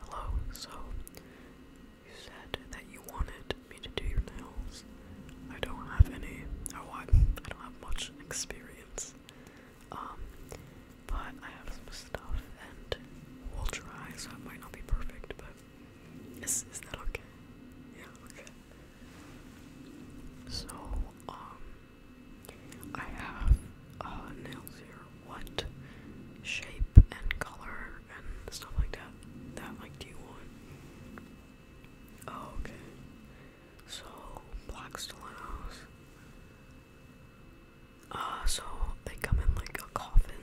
Hello, so you said that you wanted me to do your nails. I don't have any, oh, I, I don't have much experience, um, but I have some stuff and we'll try, so it might not be perfect, but is that okay? Yeah, okay. So, um, I have nails here. What shape and color and stuff like that? That like do you want? Oh, okay. So black stilettos. Uh, so they come in like a coffin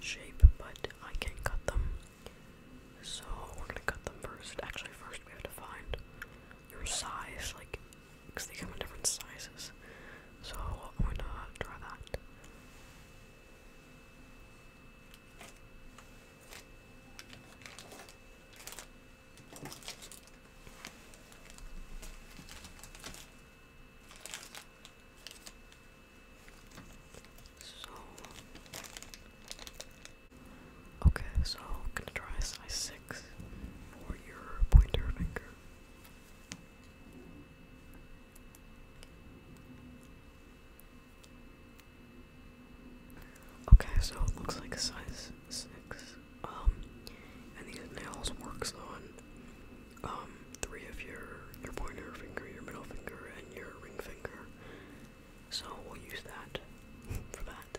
shape, but I can cut them. So we're gonna cut them first. Actually, first we have to find your size, like because they come in different sizes. So I'm gonna draw that. So, okay, so gonna try size for your pointer finger. Okay, so it looks like a size six. Um, and these nails works on um three of your your pointer finger, your middle finger, and your ring finger. So we'll use that for that.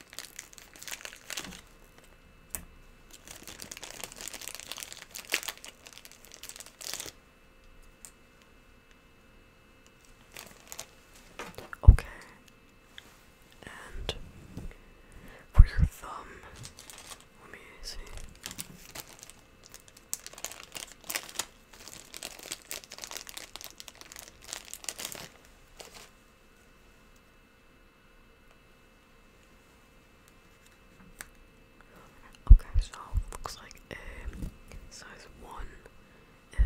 Okay. And for your thumb, let me see. Okay, so looks like size 1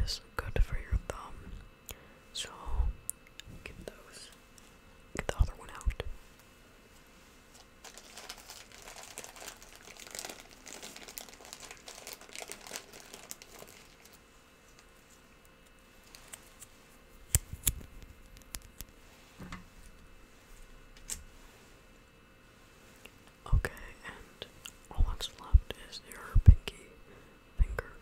is good for your thumb. So get those, get the other one out. Okay, and all that's left is your pinky finger.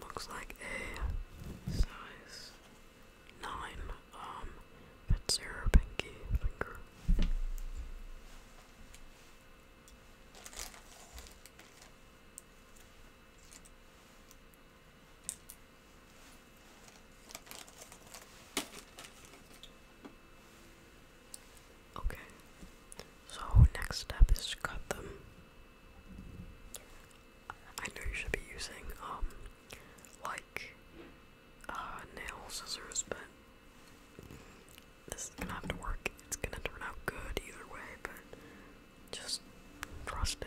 Looks like a size nine, um, but zero pinky finger. Okay, so next step is to cut them. I know you should be using, um, like, uh, nail scissors, but this is gonna have to work. It's gonna turn out good either way, but just trust it.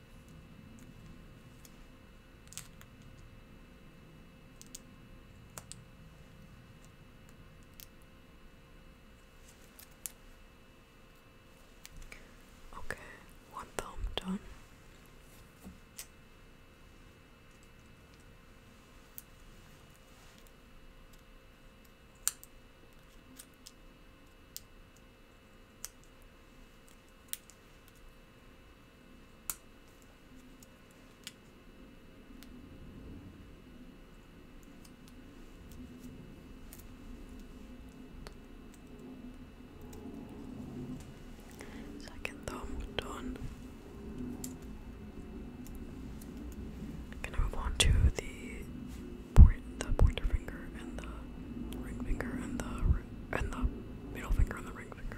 Okay, one thumb done. Second thumb done. Gonna move on to the point, the pointer finger, and the ring finger, and the and the middle finger and the ring finger.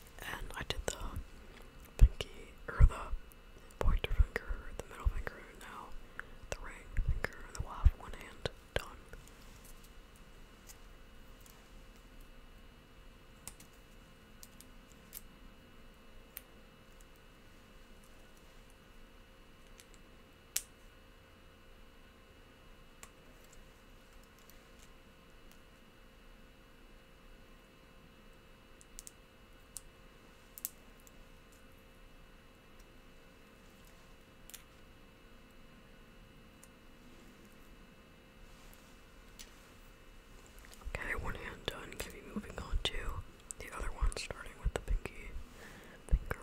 and I did the pinky or the pointer finger, the middle finger, now the ring finger, and then one hand done. Okay, one hand done. Can be moving on to the other one, starting with the pinky finger.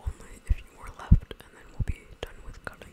Only a few more left, and then we'll be done with cutting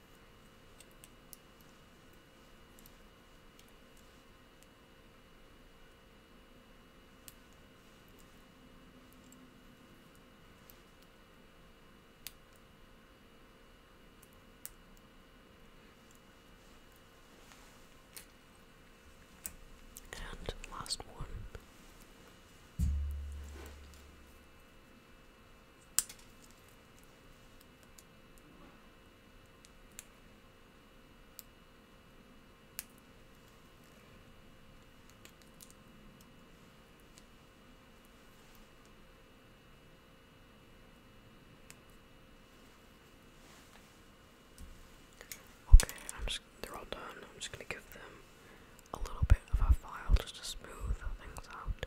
And last one. Okay, I'm just, they're all done. I'm just gonna give them a little bit of a file just to smooth things out.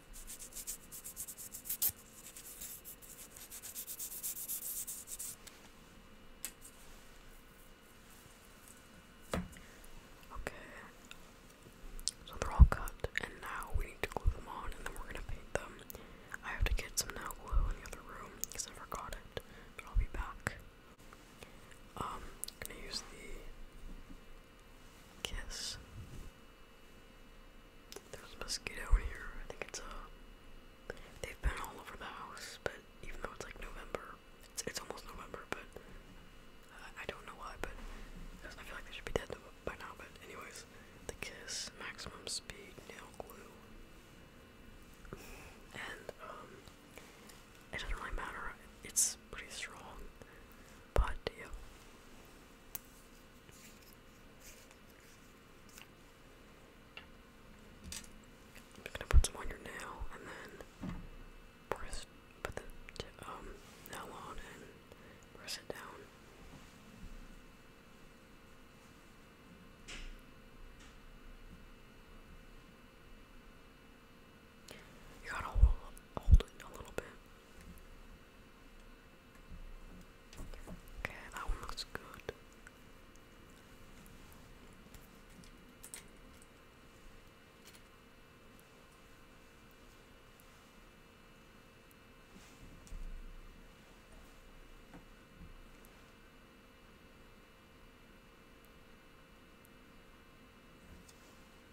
Okay, so they're all cut, and now we need to glue them on, and then we're gonna paint them. I have to get some nail glue in the other room because I forgot it, but I'll be back. Um, gonna use the kiss there's a mosquito in here. I think it's a. Uh, they've been all over the house, but even though it's like November, it's, it's almost November, but uh, I don't know why, but I feel like they should be dead by now. But anyways, the kiss, maximum speed, nail glue, and um, it doesn't really matter. It's pretty strong, but I'm gonna put some on your nail and then press put the um, nail on and press it down. You gotta hold it a little bit. Okay, that one looks good.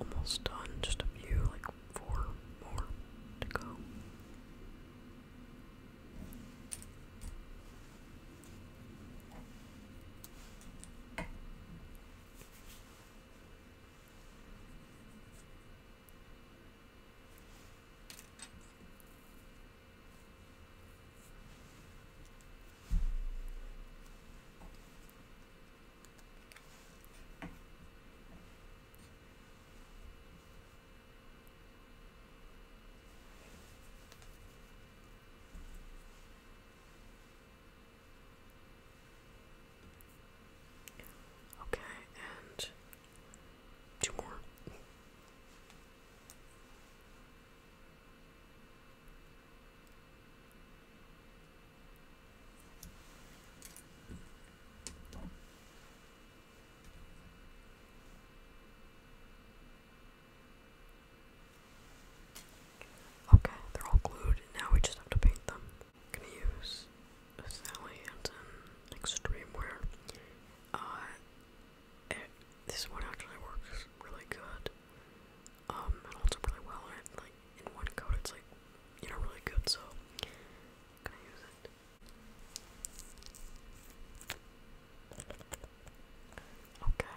Almost done, just a few, like four more to go. Okay, and two more. Okay, they're all glued, now we just have to paint them. gonna use Sally Hansen Extreme Wear. Uh, this one actually works really good. Um, it holds up really well, and like in one coat, it's like you know really good. So, gonna use it. Okay.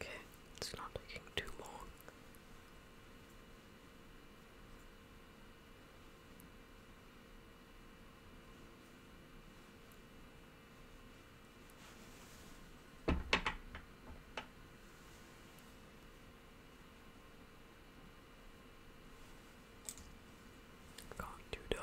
Okay, it's not taking too long. Got two done.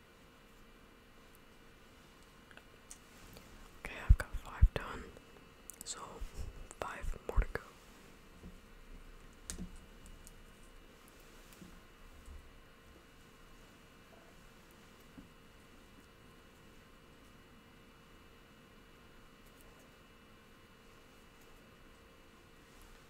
Okay, I've got five done, so five more to go.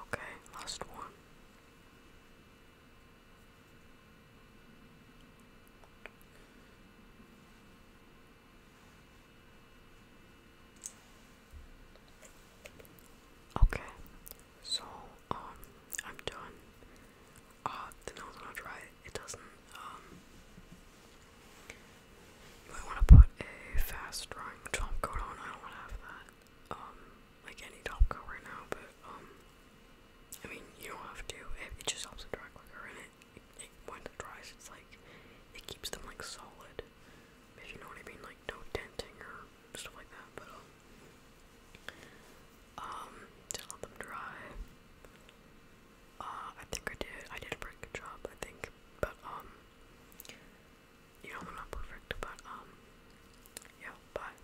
Okay, last one. Okay, so um, I'm done. Uh, the nail's gonna dry. It doesn't. Um, you might want to put a fast drying top coat on. I don't want to have that. Um, like any top coat right now, but um, I mean, you don't have to. It, just helps it dry quicker, and it, when it dries, it's like it keeps them like solid. If you know what I mean, like no denting or stuff like that. But um, um let them dry. Uh, I think I did. I did a pretty good job, I think. But um, you know, they're not perfect. But um, yeah, bye.